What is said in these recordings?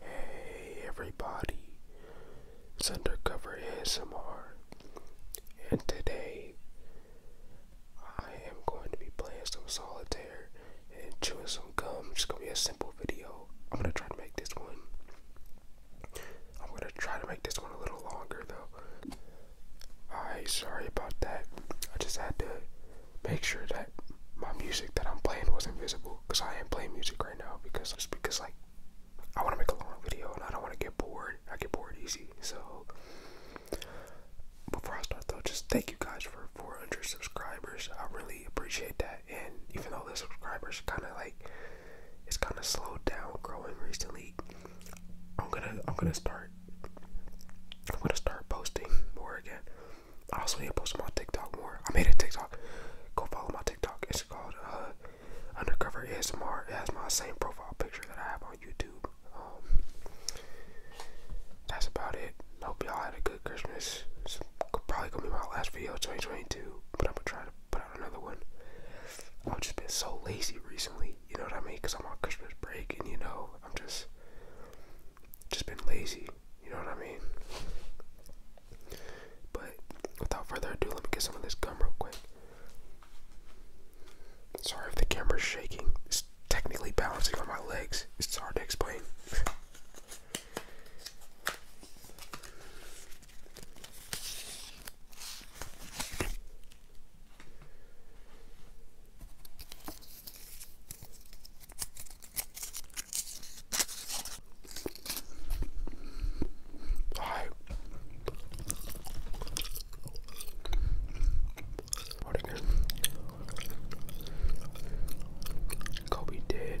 Hey everybody, it's Undercover ASMR, and today I am going to be playing some solitaire and chewing some gum. Just gonna be a simple video. I'm gonna try to make this one. I'm gonna try to make this one a little longer though. Alright, sorry about that. I just had to make sure that my music that I'm playing was not visible, because I am playing music right now because it's because like I want to make a long video and I don't want to get bored. I get bored easy. So before I start though, just thank you guys for 400 subscribers. I really appreciate that. And even though the subscribers kind of like it's kind of slowed down growing recently, I'm gonna I'm gonna start I'm gonna start posting more again. I also need to post on TikTok more. I made a TikTok. Go follow my TikTok. It's called uh, Undercover ASMR. It has my same profile picture that I have on YouTube. Um, that's about it. Hope y'all had a good Christmas. It's probably gonna be my last video of 2022, but I'm gonna try to put out another one. I've just been so lazy recently. You know what I mean? Cause I'm on Christmas break, and you know, I'm just just been lazy. You know what I mean? But without further ado, let me get some of this gum real quick. Sorry if the camera's shaking. It's technically balancing on my legs. It's hard to explain. はいあれねカビで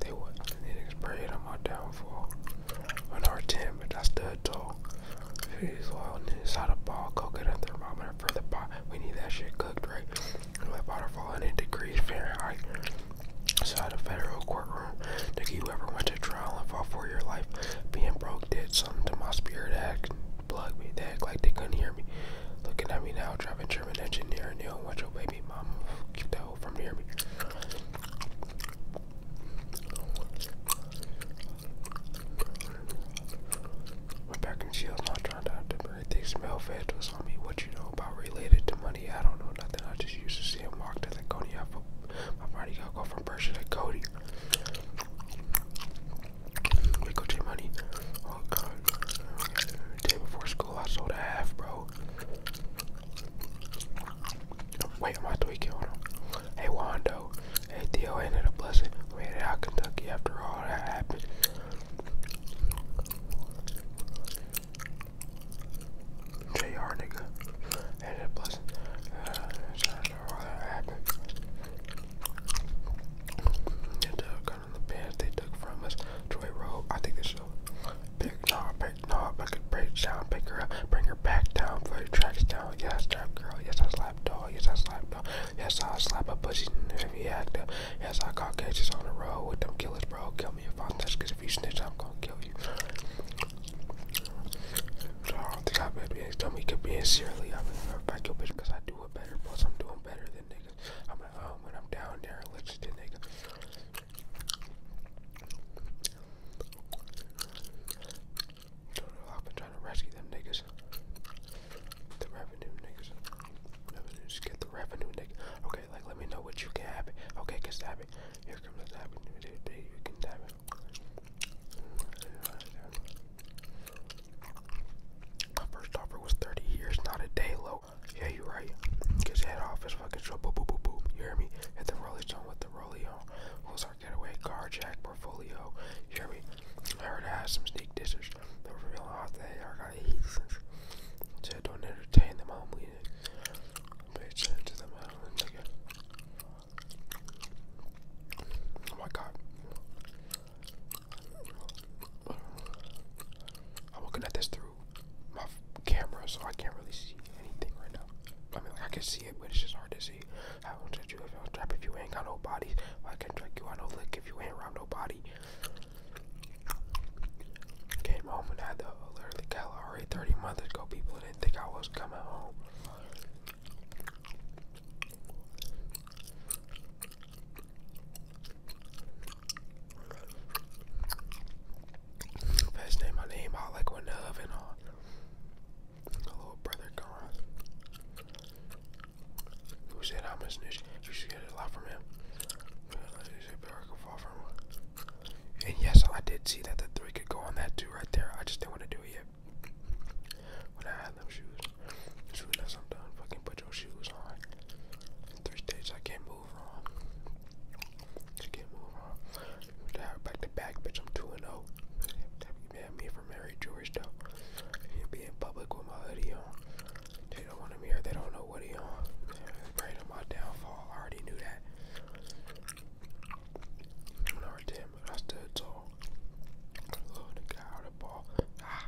They were, they niggas prayed on my downfall. Another 10, but that's the toe. He's wildness. How the ball cook thermometer for the pot. We need that shit cooked, right? Let water fall degrees Fahrenheit. Inside a federal courtroom, Nick, you ever went to trial and fought for your life? Being broke did something to my spirit act plug me. They act like they couldn't hear me. Looking at me now, driving German engineer, and don't want your baby mama. Keep that hoe me. Rebecca and Shields not trying to have to debate these male vandals on me. What you know about related to money? I don't know nothing. I just used to see him walk to the Cody. I am my party gotta go from Berkshire to Cody. We go to money. Oh, Day before school, I sold a half, bro. Wait, I'm about to on him. Hey, Wando. Hey, Theo ended up blessing. We made it out Kentucky after all that happened. JR, nigga. Ended a blessing. Uh, after all that happened. They took on uh, the pants they took from us. Joy Road. I think this show. Big, nah, like, knob, I could break down, pick her up, bring her back down, for the tracks down. Yes, I strap girl, yes, I slap dog, yes, I slap dog, yes, I slap a pussy in every actor. Yes, I caught catches on the road with them killers, bro. Kill me if I touch, cause if you snitch, I'm gonna kill you. I don't think I better be, tell me, could be sincerely, I'm gonna fuck your bitch, cause I do it better, plus I'm doing better than niggas. I'm at home um, when I'm down there, listen to niggas. I've been trying to rescue them niggas. The revenue niggas. Revenue, just get the revenue nigga. Okay, like let me know what you can have it. Okay, can stab it. Here comes the stab You can stab it. My first offer was 30 years, not a day low. Yeah, you right. Get your head off his fucking show. Boop, boop, boop, boop. You hear me? Hit the rolling stone with the Rolio, who's our getaway car, Jack Portfolio, Jerry. I heard I had some sneak dishes. The real hot that I gotta don't entertain them I'm leaving. Bitch into them uh, Oh my god. I'm looking at this through my camera, so I can't really see anything right now. I mean, I can see it, but it's just hard to see. I won't touch you if I was trap if you ain't got no body. I can not trick you, on no lick if you ain't round no body. Came home and I had the literally calorie 30 months ago. People didn't think I was coming home. First name, my name, all like one of and all. My little brother gone. Who said I'm a snitch? You should get a lot from him. And yes, I did see that the three could go on that too right there. I just didn't want to do it yet. When I had them shoes. As soon I'm done, fucking put your shoes on. three states I can't move on. It's game over. Back to back, bitch. I'm 2 and 0. Man, me for Mary George, though. You be public with my hoodie on. They don't want him here. They don't know what he on. Pray to my downfall. I already knew that. Number 10, but I stood tall. Oh, the guy out of ball. Ah.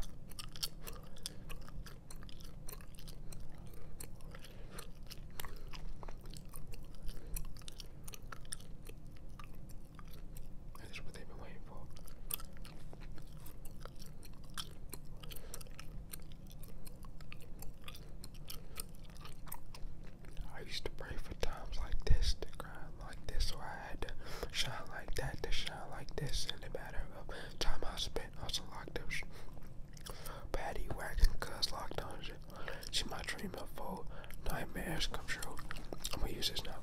That is what they've been waiting for. I used to pray for times like this to cry like this, so I had to shine like that to shine like this. In a matter of time, I spent also like this. Patty whacking cuz locked on She my dream of foe. Nightmares come true. I'm gonna use this now.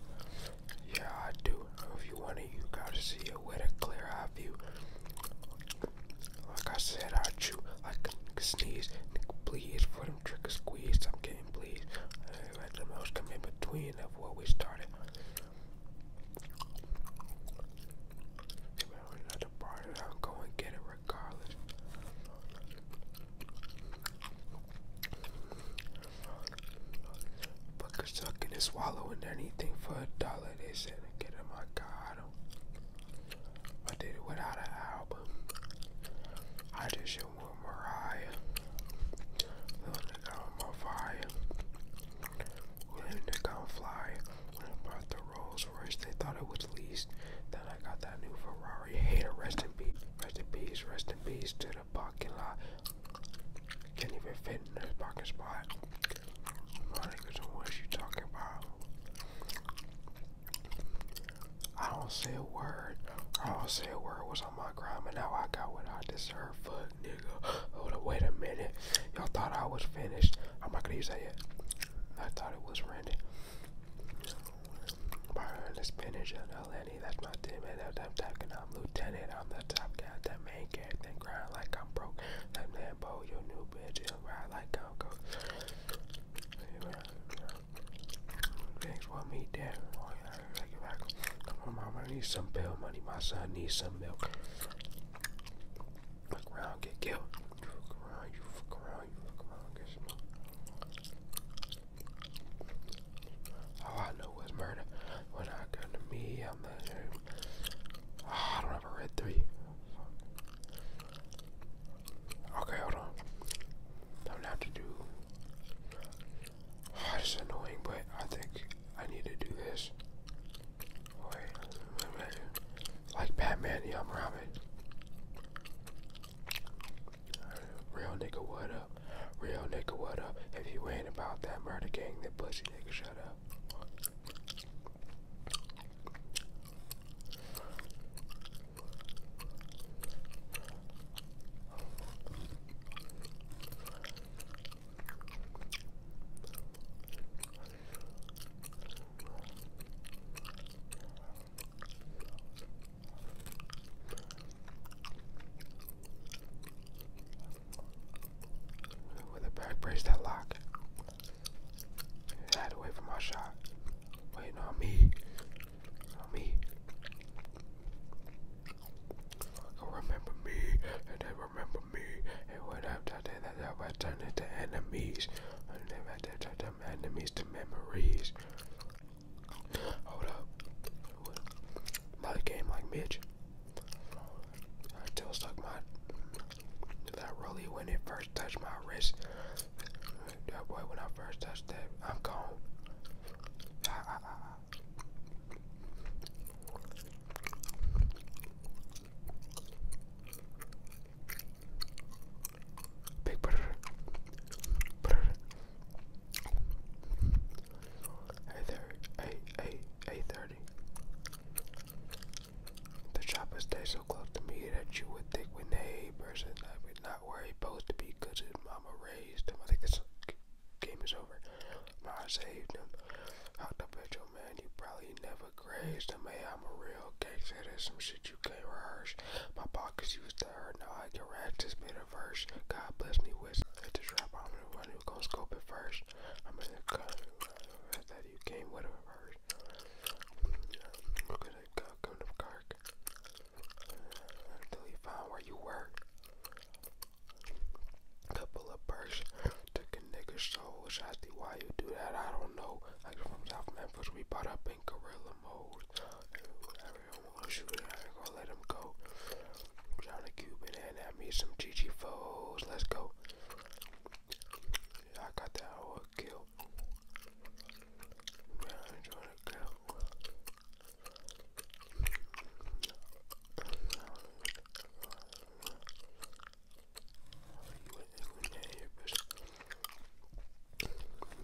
Yeah, I do. If you want it, you gotta see it with a clear eye view. Like I said, I chew. like can sneeze. Please, for them or squeeze. I'm getting pleased. Uh, let the mouse come in between of what we started. Another part, I'm going get it Fuckers sucking and swallowing anything for a dollar. They said, get in my car. I, did it without an album. I did shit with Mariah. Little nigga on my fire. Little nigga on when I bought the Rolls Royce, they thought it was leased. Then I got that new Ferrari. Hate Hater, rest in peace. Rest in peace. Rest in peace to the parking lot. Can't even fit in this parking spot. My niggas, what you talking about? I don't say a word. I don't say a word was on my crime, and now I got what I deserve. Fuck, nigga. Hold up, wait a minute. Y'all thought I was finished. I'm not gonna use that yet. I thought it was random. Burn the spinach and the lenny, that's my teammate, that's I'm talking, I'm lieutenant, I'm the top guy, that main character, grind like I'm broke, that Lambo, your new bitch, you ride like I'm coke. Thanks for me, Dad. Oh, yeah, mama needs some bail money, my son needs some milk. Look around, get killed. You fuck around, you fuck around, you fuck around, get some All I know is murder. When I come to me, I'm not I don't have a red three. Okay, hold on. I'm gonna have to do. Oh, annoying, but I think I need to do this. wait like Batman, I'm Robin. Real nigga, what up? Real nigga, what up? If you ain't about that murder gang, then pussy nigga, shut up. With a back brace that lock. I had to wait for my shot. Waiting on me. On me. Go remember me, and they remember me. And when I'm talking about turning to enemies, and they them enemies to memories. Hold up. Another game like Mitch. I still stuck my. Did really when it first touched my wrist? That boy, when I first touched that, I'm gone. Big brother. Brother. Hey there. Hey, The chopper stay so close to me that you would think when a person i would not where he supposed to be because his mama raised him. I think this game is over. No, I saved him. How the bitch, oh man, he probably never grazed him. Hey, I'm a real gangster. some shit that you can rehearse. My pockets used to hurt, now I can rack this bit of verse. God bless me with at this rap, I'm the one who gon' scope it first. I'm in the cut that you came with a verse. Look at it, come to Kirk. Until you find where you work. Couple of bursts took a nigga's soul. Shotty, why you do that? I don't know. Like from South Memphis, we bought up in gorilla mode. I want to shoot it. I ain't gonna let him go. Trying to Cupid and at me some GG foes. Let's go. I got that whole kill. Man, I enjoy the kill.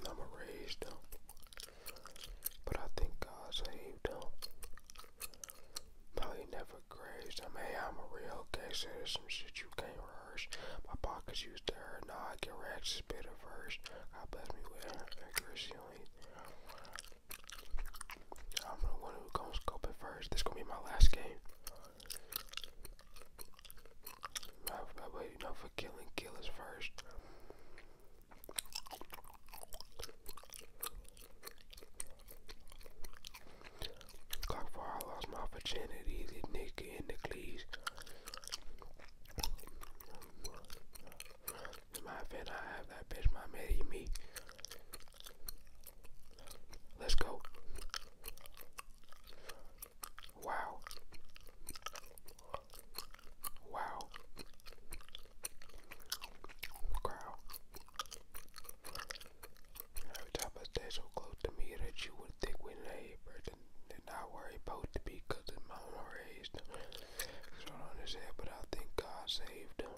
I'm a raised But I think God saved them. No, never grazed them. Hey, I'm a real case citizen. Shit, you can't rehearse. My pockets used to hurt. Now I get racks, spit a verse. God bet me with accuracy only. I'm the one who comes scoping first. This going be my last game. Not, for killing killers first. Cockfire, I lost my virginity, the in the cleats. In my event, I have that bitch, my Medi me. Let's go. Wow. Wow. Every time I stay so close to me that you would think we're a neighbor, I worry about to be cause of raised. So don't understand, but I think God saved them.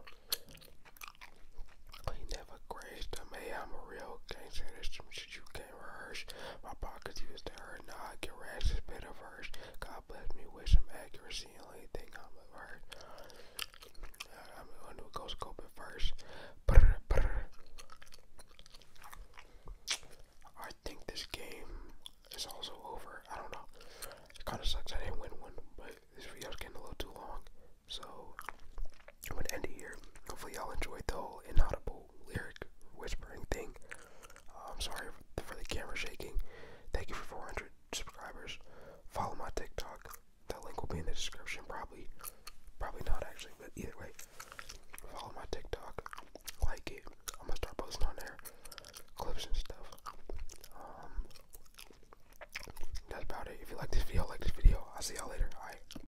He never graced them. Hey, I'm a real gangster. There's you my pockets used to hurt, now I can rash bit of hers. God bless me with some accuracy, only thing I'm of uh, I'm going to go scope it first. I think this game is also over. I don't know. It kind of sucks I didn't win one, but this video's getting a little too long. So, I'm gonna end it here. Hopefully, y'all enjoyed the whole inaudible lyric whispering thing. Uh, I'm sorry for the camera shaking. Thank you for 400 subscribers. Follow my TikTok. That link will be in the description, probably. Probably not actually, but either way, follow my TikTok. Like it. I'm gonna start posting on there clips and stuff. Um, that's about it. If you like this video, like this video. I'll see y'all later. Bye.